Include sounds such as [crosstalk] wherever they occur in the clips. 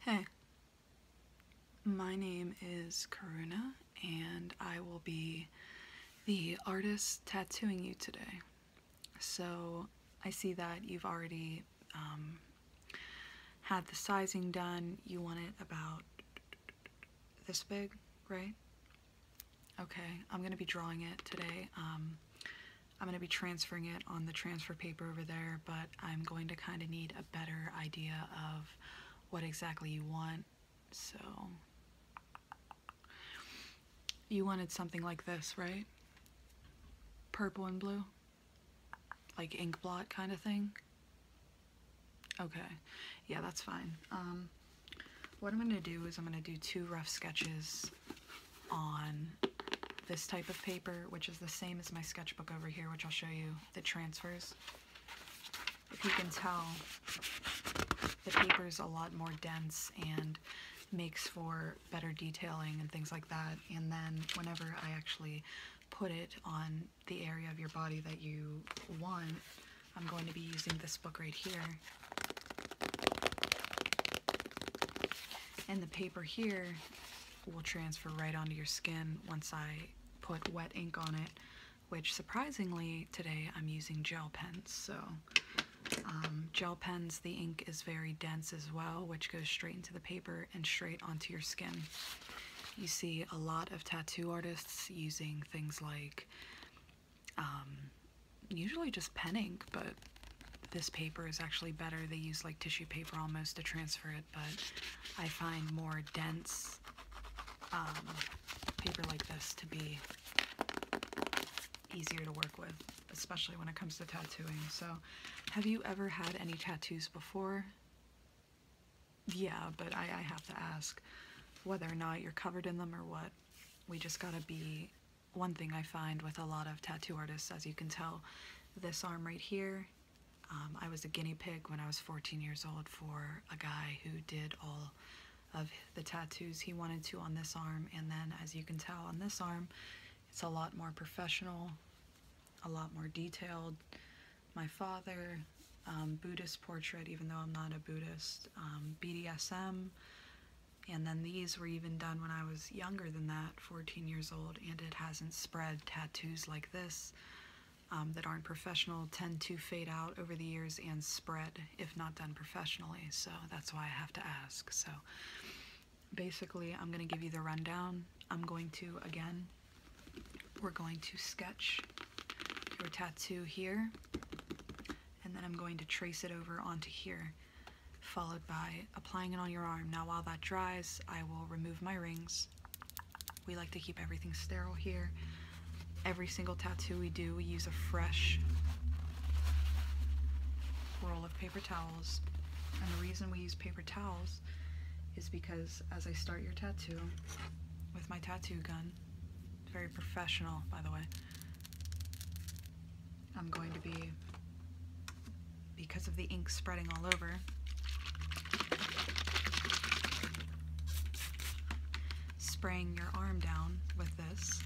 Hey, my name is Karuna, and I will be the artist tattooing you today. So, I see that you've already um, had the sizing done. You want it about this big, right? Okay, I'm gonna be drawing it today. Um, I'm going to be transferring it on the transfer paper over there, but I'm going to kind of need a better idea of what exactly you want. So, you wanted something like this, right? Purple and blue? Like ink blot kind of thing? Okay, yeah, that's fine. Um, what I'm going to do is I'm going to do two rough sketches on this type of paper, which is the same as my sketchbook over here, which I'll show you the transfers. If you can tell, the paper is a lot more dense and makes for better detailing and things like that. And then whenever I actually put it on the area of your body that you want, I'm going to be using this book right here. And the paper here will transfer right onto your skin once I put wet ink on it, which surprisingly today I'm using gel pens. So um, gel pens, the ink is very dense as well, which goes straight into the paper and straight onto your skin. You see a lot of tattoo artists using things like um, usually just pen ink, but this paper is actually better. They use like tissue paper almost to transfer it, but I find more dense um, paper like this to be easier to work with, especially when it comes to tattooing. So, have you ever had any tattoos before? Yeah, but I, I have to ask whether or not you're covered in them or what. We just gotta be. One thing I find with a lot of tattoo artists, as you can tell, this arm right here. Um, I was a guinea pig when I was 14 years old for a guy who did all of the tattoos he wanted to on this arm and then as you can tell on this arm it's a lot more professional a lot more detailed my father um, Buddhist portrait even though I'm not a Buddhist BDSM um, and then these were even done when I was younger than that 14 years old and it hasn't spread. Tattoos like this um, that aren't professional tend to fade out over the years and spread if not done professionally. So that's why I have to ask. So basically, I'm going to give you the rundown. I'm going to, again, we're going to sketch your tattoo here and then I'm going to trace it over onto here followed by applying it on your arm. Now while that dries, I will remove my rings. We like to keep everything sterile here. Every single tattoo we do, we use a fresh roll of paper towels. And the reason we use paper towels is because as I start your tattoo with my tattoo gun, very professional by the way, I'm going to be, because of the ink spreading all over, spraying your arm down with this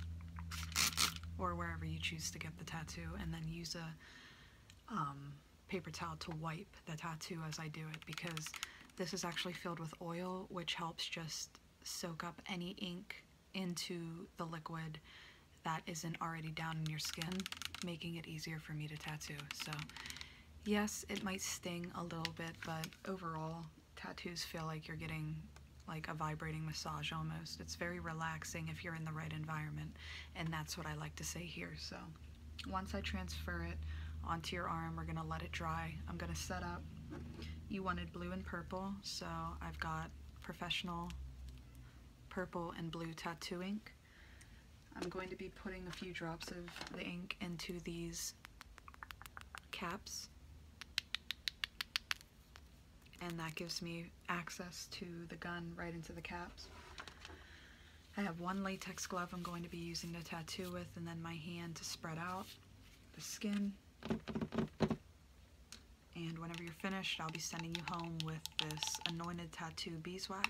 or wherever you choose to get the tattoo and then use a um, paper towel to wipe the tattoo as I do it because this is actually filled with oil which helps just soak up any ink into the liquid that isn't already down in your skin, making it easier for me to tattoo. So yes, it might sting a little bit, but overall, tattoos feel like you're getting like a vibrating massage almost. It's very relaxing if you're in the right environment, and that's what I like to say here. So once I transfer it onto your arm, we're gonna let it dry. I'm gonna set up, you wanted blue and purple, so I've got professional purple and blue tattoo ink. I'm going to be putting a few drops of the ink into these caps and that gives me access to the gun right into the caps. I have one latex glove I'm going to be using to tattoo with and then my hand to spread out the skin. And whenever you're finished, I'll be sending you home with this Anointed Tattoo Beeswax.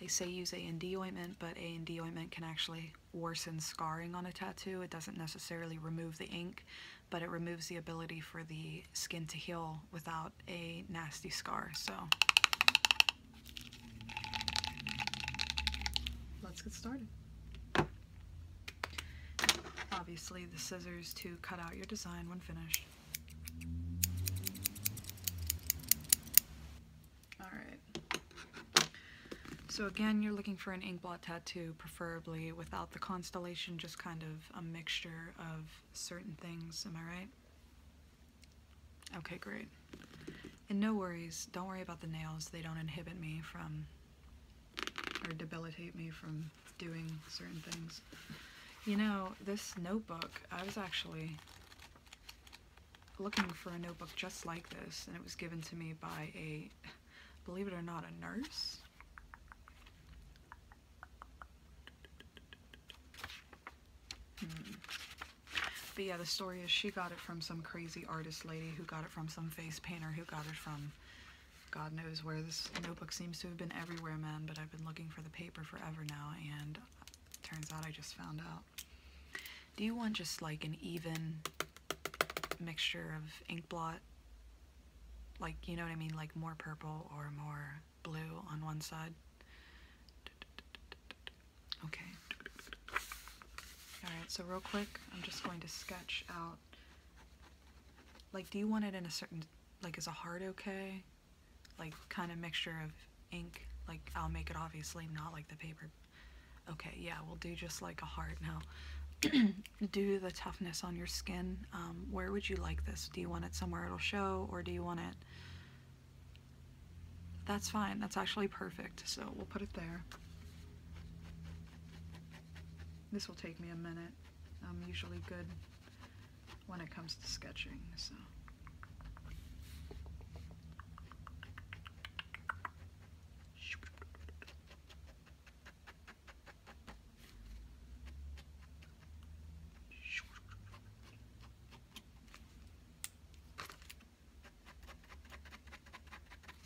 They say use A&D ointment, but A&D ointment can actually worsen scarring on a tattoo. It doesn't necessarily remove the ink, but it removes the ability for the skin to heal without a nasty scar. So let's get started. Obviously the scissors to cut out your design when finished. All right. So again, you're looking for an ink blot tattoo, preferably without the constellation, just kind of a mixture of certain things, am I right? Okay, great. And no worries, don't worry about the nails, they don't inhibit me from, or debilitate me from doing certain things. You know, this notebook, I was actually looking for a notebook just like this, and it was given to me by a, believe it or not, a nurse. Hmm. But yeah, the story is she got it from some crazy artist lady who got it from some face painter who got it from God knows where. This notebook seems to have been everywhere, man, but I I've been looking for the paper forever now, and turns out I just found out. Do you want just like an even mixture of ink blot? Like, you know what I mean? Like more purple or more blue on one side? Okay. Alright, so real quick, I'm just going to sketch out. Like, do you want it in a certain, like, is a heart okay? like kind of mixture of ink like I'll make it obviously not like the paper okay yeah we'll do just like a heart now [clears throat] do the toughness on your skin um, where would you like this do you want it somewhere it'll show or do you want it that's fine that's actually perfect so we'll put it there this will take me a minute I'm usually good when it comes to sketching. So.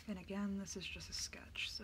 And again, this is just a sketch, so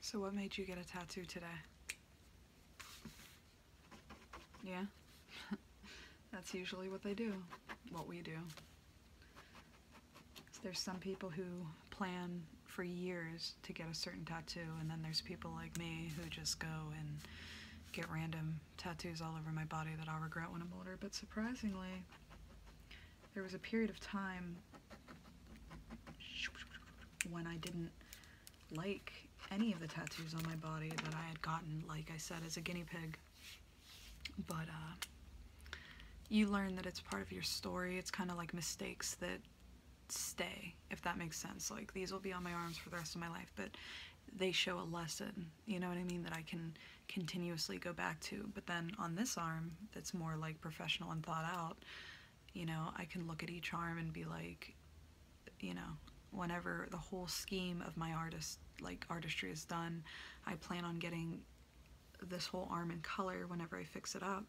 So what made you get a tattoo today? Yeah? [laughs] That's usually what they do, what we do. there's some people who plan for years to get a certain tattoo, and then there's people like me who just go and get random tattoos all over my body that I'll regret when I'm older, but surprisingly, there was a period of time when I didn't like any of the tattoos on my body that I had gotten, like I said, as a guinea pig. But uh, you learn that it's part of your story. It's kind of like mistakes that stay, if that makes sense. Like these will be on my arms for the rest of my life, but they show a lesson, you know what I mean, that I can continuously go back to. But then on this arm, that's more like professional and thought out, you know, I can look at each arm and be like, you know, whenever the whole scheme of my artist, like artistry is done, I plan on getting this whole arm in color whenever I fix it up.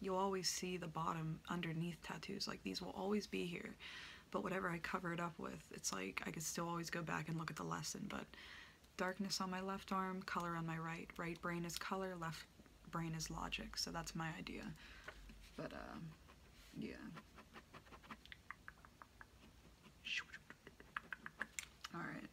You'll always see the bottom underneath tattoos, like these will always be here. But whatever I cover it up with, it's like I could still always go back and look at the lesson, but darkness on my left arm, color on my right. Right brain is color, left brain is logic, so that's my idea. But, um, yeah. Alright.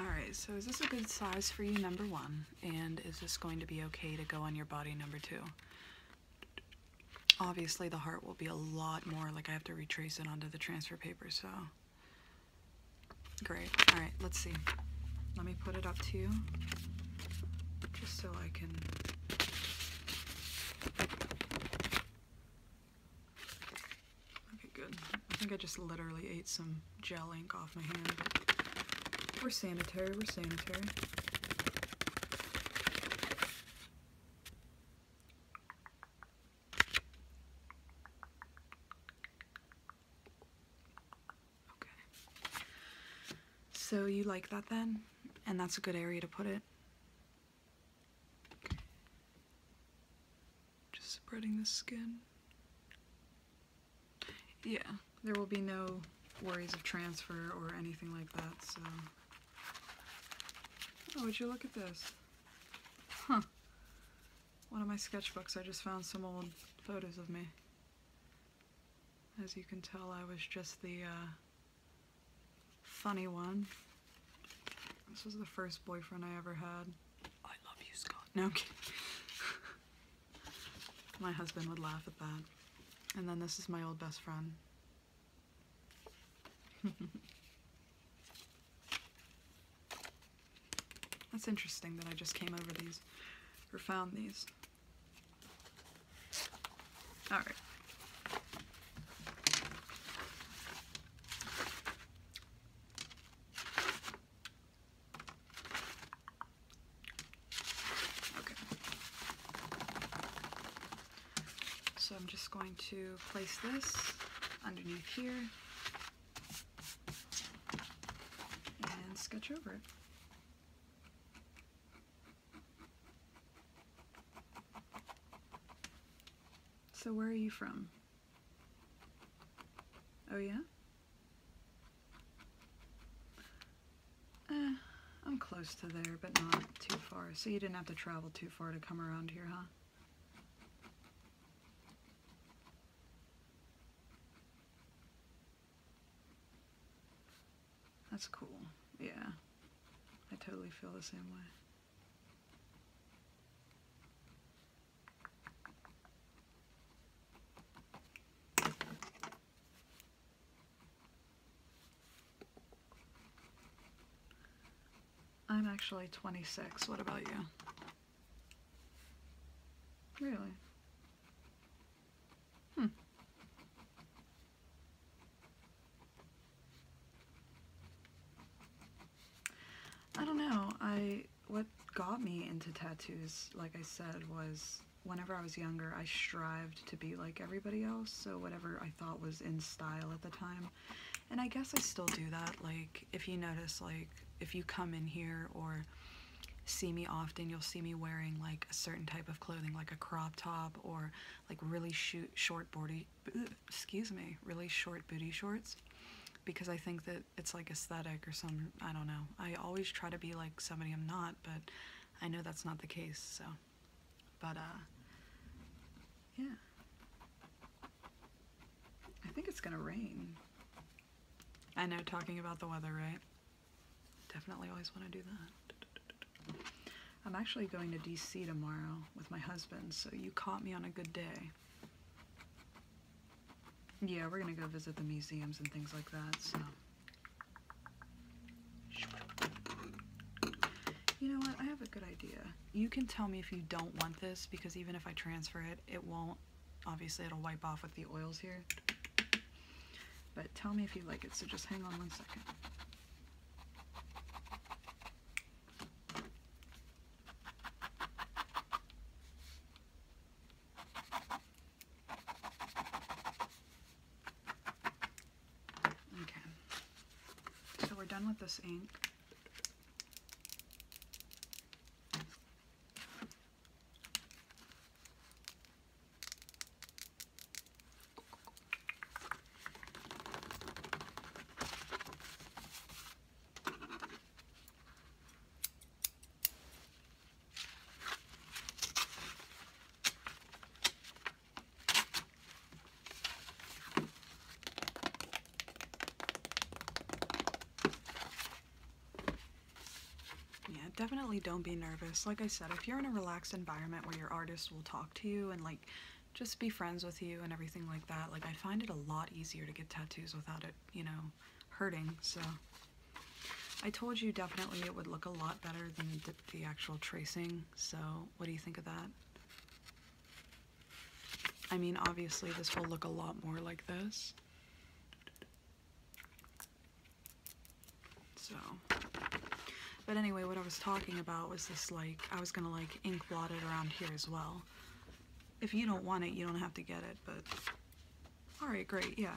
Alright, so is this a good size for you, number one? And is this going to be okay to go on your body, number two? Obviously the heart will be a lot more, like I have to retrace it onto the transfer paper, so. Great, all right, let's see. Let me put it up to you, just so I can. Okay, good. I think I just literally ate some gel ink off my hand. We're sanitary, we're sanitary. Okay. So you like that then? And that's a good area to put it? Just spreading the skin. Yeah, there will be no worries of transfer or anything like that, so... Oh, would you look at this? Huh. One of my sketchbooks, I just found some old photos of me. As you can tell, I was just the, uh, funny one. This was the first boyfriend I ever had. I love you, Scott. No, kidding. [laughs] My husband would laugh at that. And then this is my old best friend. [laughs] That's interesting that I just came over these, or found these. Alright. Okay. So I'm just going to place this underneath here and sketch over it. So where are you from? Oh yeah? Eh, I'm close to there, but not too far. So you didn't have to travel too far to come around here, huh? That's cool. Yeah. I totally feel the same way. I'm actually 26. What about you? Really? Hmm. I don't know. I what got me into tattoos, like I said, was whenever I was younger, I strived to be like everybody else, so whatever I thought was in style at the time. And I guess I still do that. Like, if you notice, like, if you come in here or see me often, you'll see me wearing like a certain type of clothing, like a crop top or like really shoot, short body, excuse me, really short booty shorts because I think that it's like aesthetic or some, I don't know. I always try to be like somebody I'm not, but I know that's not the case, so. But, uh, yeah. I think it's gonna rain. I know, talking about the weather, right? Definitely always want to do that. I'm actually going to DC tomorrow with my husband, so you caught me on a good day. Yeah, we're gonna go visit the museums and things like that, so. You know what? I have a good idea. You can tell me if you don't want this because even if I transfer it, it won't. Obviously, it'll wipe off with the oils here. But tell me if you like it, so just hang on one second. Okay. So we're done with this ink. Yeah, definitely don't be nervous. Like I said, if you're in a relaxed environment where your artist will talk to you and like just be friends with you and everything like that, like I find it a lot easier to get tattoos without it, you know, hurting. So I told you definitely it would look a lot better than the actual tracing, so what do you think of that? I mean, obviously this will look a lot more like this. So, but anyway, what I was talking about was this like, I was gonna like ink blot it around here as well. If you don't want it, you don't have to get it, but all right, great, yeah.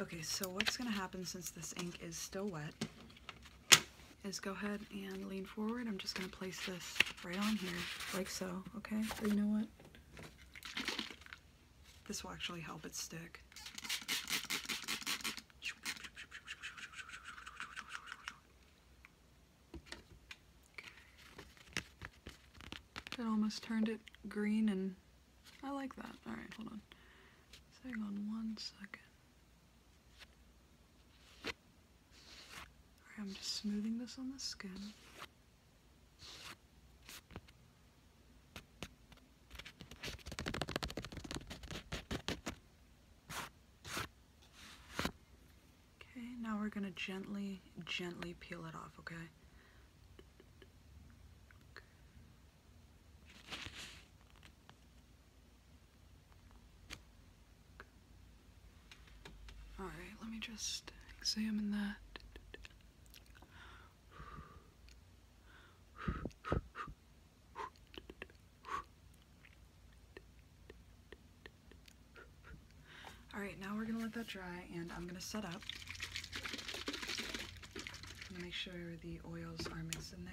Okay, so what's going to happen since this ink is still wet is go ahead and lean forward. I'm just going to place this right on here, like so, okay? you know what? This will actually help it stick. It almost turned it green and I like that. Alright, hold on. hang on one second. Alright, I'm just smoothing this on the skin. Okay, now we're gonna gently, gently peel it off, okay? All right, let me just examine that. All right, now we're gonna let that dry and I'm gonna set up. Make sure the oils are mixed in there.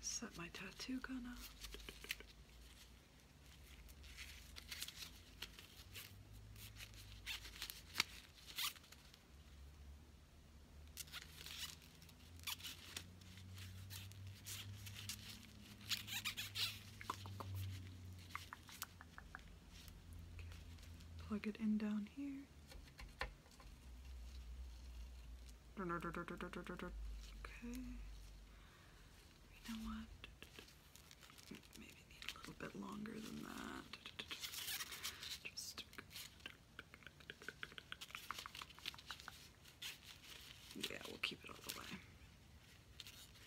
Set my tattoo gun up. Plug it in down here. Okay. You know what? Maybe a little bit longer than that. yeah, we'll keep it all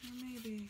the way. maybe.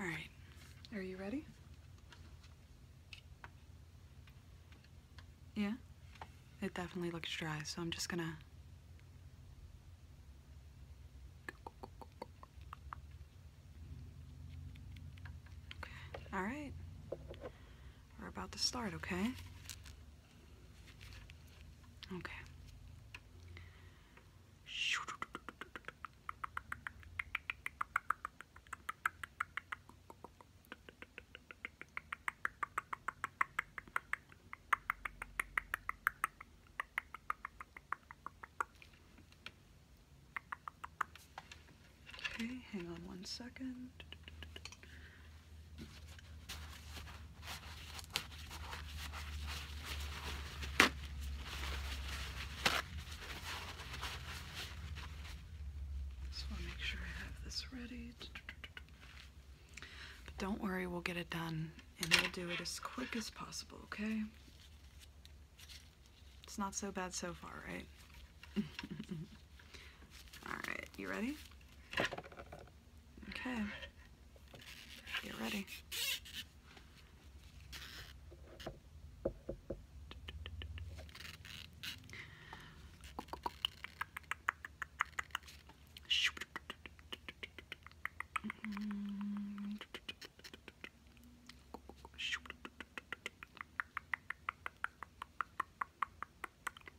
All right, are you ready? Yeah, it definitely looks dry, so I'm just gonna All right. We're about to start, okay? Okay. Okay, hang on one second. Just want to make sure I have this ready. But don't worry, we'll get it done and we'll do it as quick as possible, okay? It's not so bad so far, right? [laughs] Alright, you ready? Okay. Get ready. Shoop.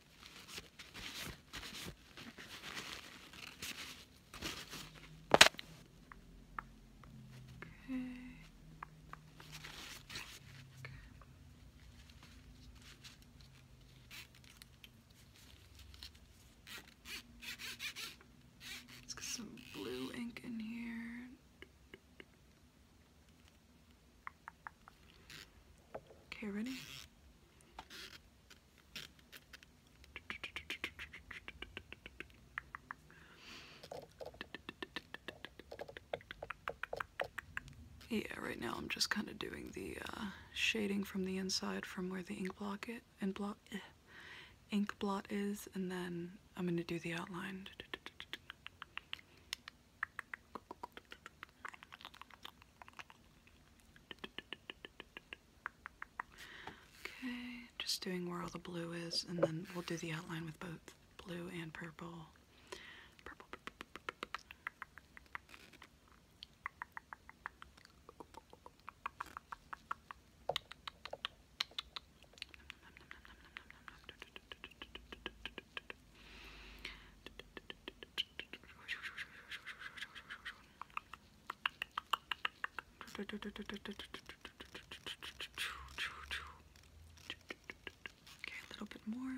Okay. Okay. Let's get some blue ink in here. Okay, ready? Yeah, right now I'm just kind of doing the uh, shading from the inside from where the ink block it eh, ink blot is, and then I'm gonna do the outline. Okay, just doing where all the blue is, and then we'll do the outline with both blue and purple. Purple. Okay, a little bit more.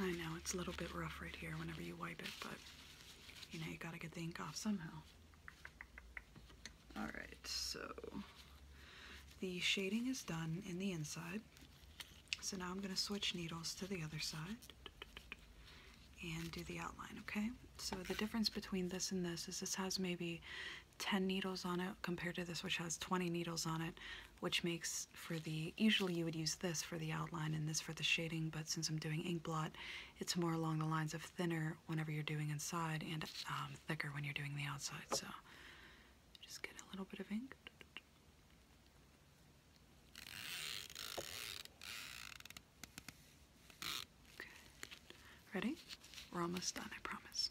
I know it's a little bit rough right here whenever you wipe it, but you know you gotta get the ink off somehow. Alright, so the shading is done in the inside. So now I'm gonna switch needles to the other side and do the outline, okay? So the difference between this and this is this has maybe 10 needles on it compared to this which has 20 needles on it which makes for the usually you would use this for the outline and this for the shading but since I'm doing ink blot it's more along the lines of thinner whenever you're doing inside and um, thicker when you're doing the outside so just get a little bit of ink ready we're almost done I promise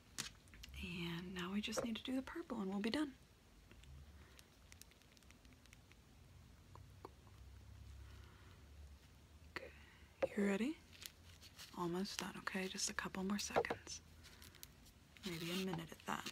And now we just need to do the purple and we'll be done. Okay. You ready? Almost done, okay? Just a couple more seconds. Maybe a minute at that.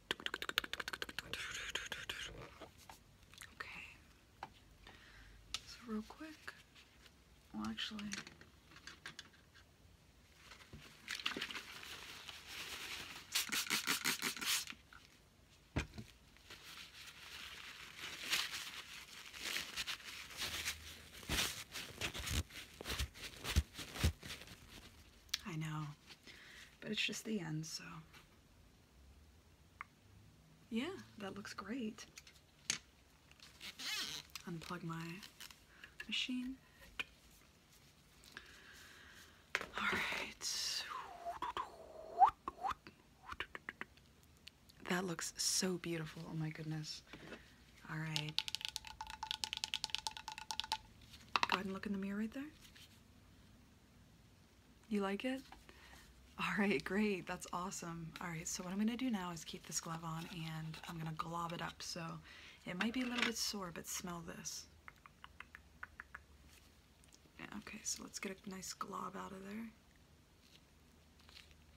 Okay. So real quick. Well, actually. I know but it's just the end, so. Yeah, that looks great. Unplug my machine. Alright. That looks so beautiful. Oh my goodness. Alright. Go ahead and look in the mirror right there. You like it? All right, great. That's awesome. All right, so what I'm going to do now is keep this glove on and I'm going to glob it up. So it might be a little bit sore, but smell this. okay, so let's get a nice glob out of there.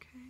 Okay.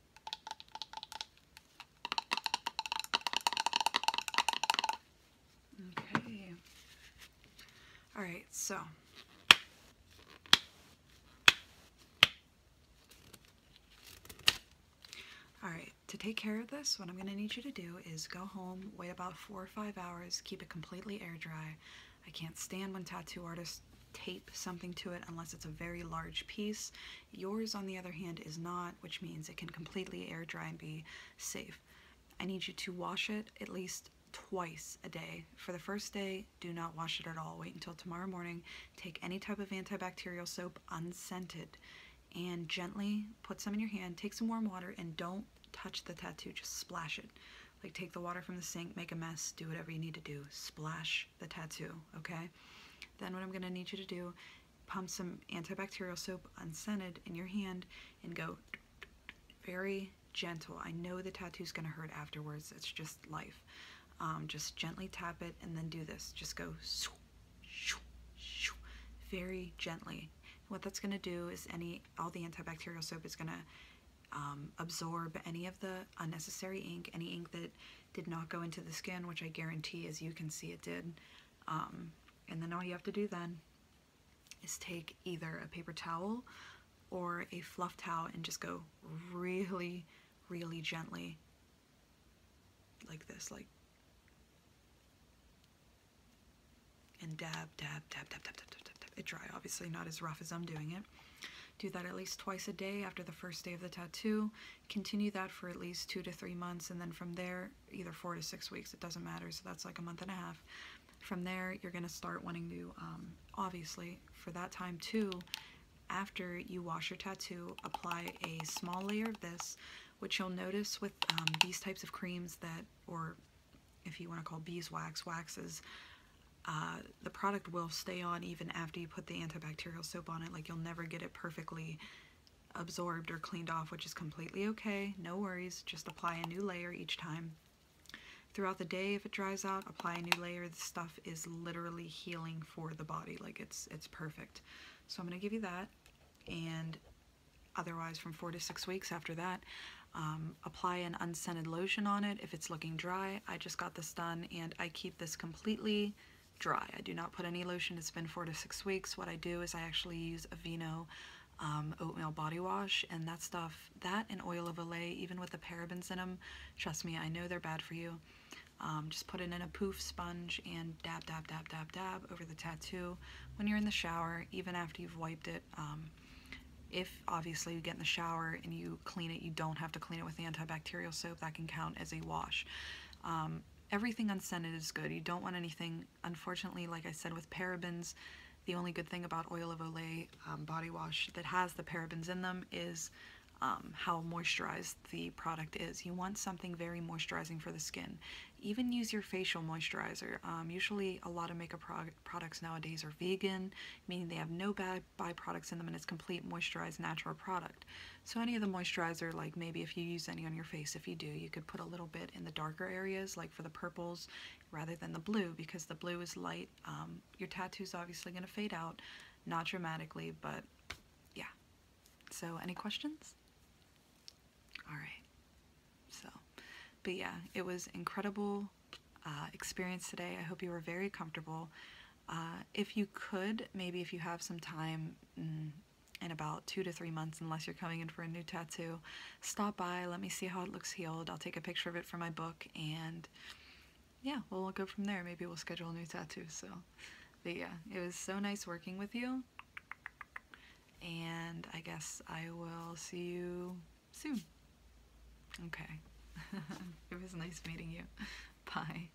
Okay. All right, so. All right, to take care of this, what I'm gonna need you to do is go home, wait about four or five hours, keep it completely air dry. I can't stand when tattoo artists tape something to it unless it's a very large piece Yours, on the other hand, is not, which means it can completely air dry and be safe. I need you to wash it at least twice a day. For the first day, do not wash it at all. Wait until tomorrow morning. Take any type of antibacterial soap unscented and gently put some in your hand. Take some warm water and don't touch the tattoo, just splash it. Like take the water from the sink, make a mess, do whatever you need to do. Splash the tattoo, okay? Then what I'm gonna need you to do pump some antibacterial soap unscented in your hand and go very gentle. I know the tattoo's gonna hurt afterwards. It's just life. Um, just gently tap it and then do this. Just go very gently. What that's gonna do is any all the antibacterial soap is gonna um, absorb any of the unnecessary ink, any ink that did not go into the skin, which I guarantee, as you can see, it did. Um, and then all you have to do then is take either a paper towel or a fluff towel and just go really, really gently like this, like, and dab, dab, dab, dab, dab, dab, dab, dab, dab. It dry, obviously not as rough as I'm doing it. Do that at least twice a day after the first day of the tattoo Continue that for at least two to three months, and then from there, either four to six weeks, it doesn't matter. So that's like a month and a half. From there, you're going to start wanting to, um, obviously, for that time too, after you wash your tattoo, apply a small layer of this, which you'll notice with um, these types of creams that, or if you want to call beeswax, waxes, uh, the product will stay on even after you put the antibacterial soap on it. Like you'll never get it perfectly absorbed or cleaned off, which is completely okay. No worries. Just apply a new layer each time. Throughout the day, if it dries out, apply a new layer. The stuff is literally healing for the body. Like it's it's perfect. So I'm going to give you that. And otherwise, from four to six weeks after that, um, apply an unscented lotion on it if it's looking dry. I just got this done and I keep this completely dry. I do not put any lotion. It's been four to six weeks. What I do is I actually use Aveeno um, oatmeal body wash and that stuff. That and oil of Olay, even with the parabens in them, trust me, I know they're bad for you. Um, just put it in a poof sponge and dab, dab, dab, dab, dab over the tattoo when you're in the shower, even after you've wiped it. Um, if obviously you get in the shower and you clean it, you don't have to clean it with antibacterial soap. That can count as a wash. Um, everything unscented is good. You don't want anything, unfortunately, like I said, with parabens, the only good thing about Oil of Olay um, body wash that has the parabens in them is um, how moisturized the product is. You want something very moisturizing for the skin. Even use your facial moisturizer. Um, usually a lot of makeup products nowadays are vegan, meaning they have no bad byproducts in them and it's complete moisturized natural product. So any of the moisturizer, like maybe if you use any on your face, if you do, you could put a little bit in the darker areas, like for the purples, rather than the blue, because the blue is light. Um, your tattoo's obviously going to fade out, not dramatically, but yeah. So any questions? All right. So, but yeah, it was incredible uh, experience today. I hope you were very comfortable. Uh, if you could, maybe if you have some time, mm, in about two to three months unless you're coming in for a new tattoo. Stop by, let me see how it looks healed. I'll take a picture of it for my book and yeah, well, we'll go from there. Maybe we'll schedule a new tattoo. So, but yeah, it was so nice working with you. And I guess I will see you soon. Okay. [laughs] it was nice meeting you. Bye.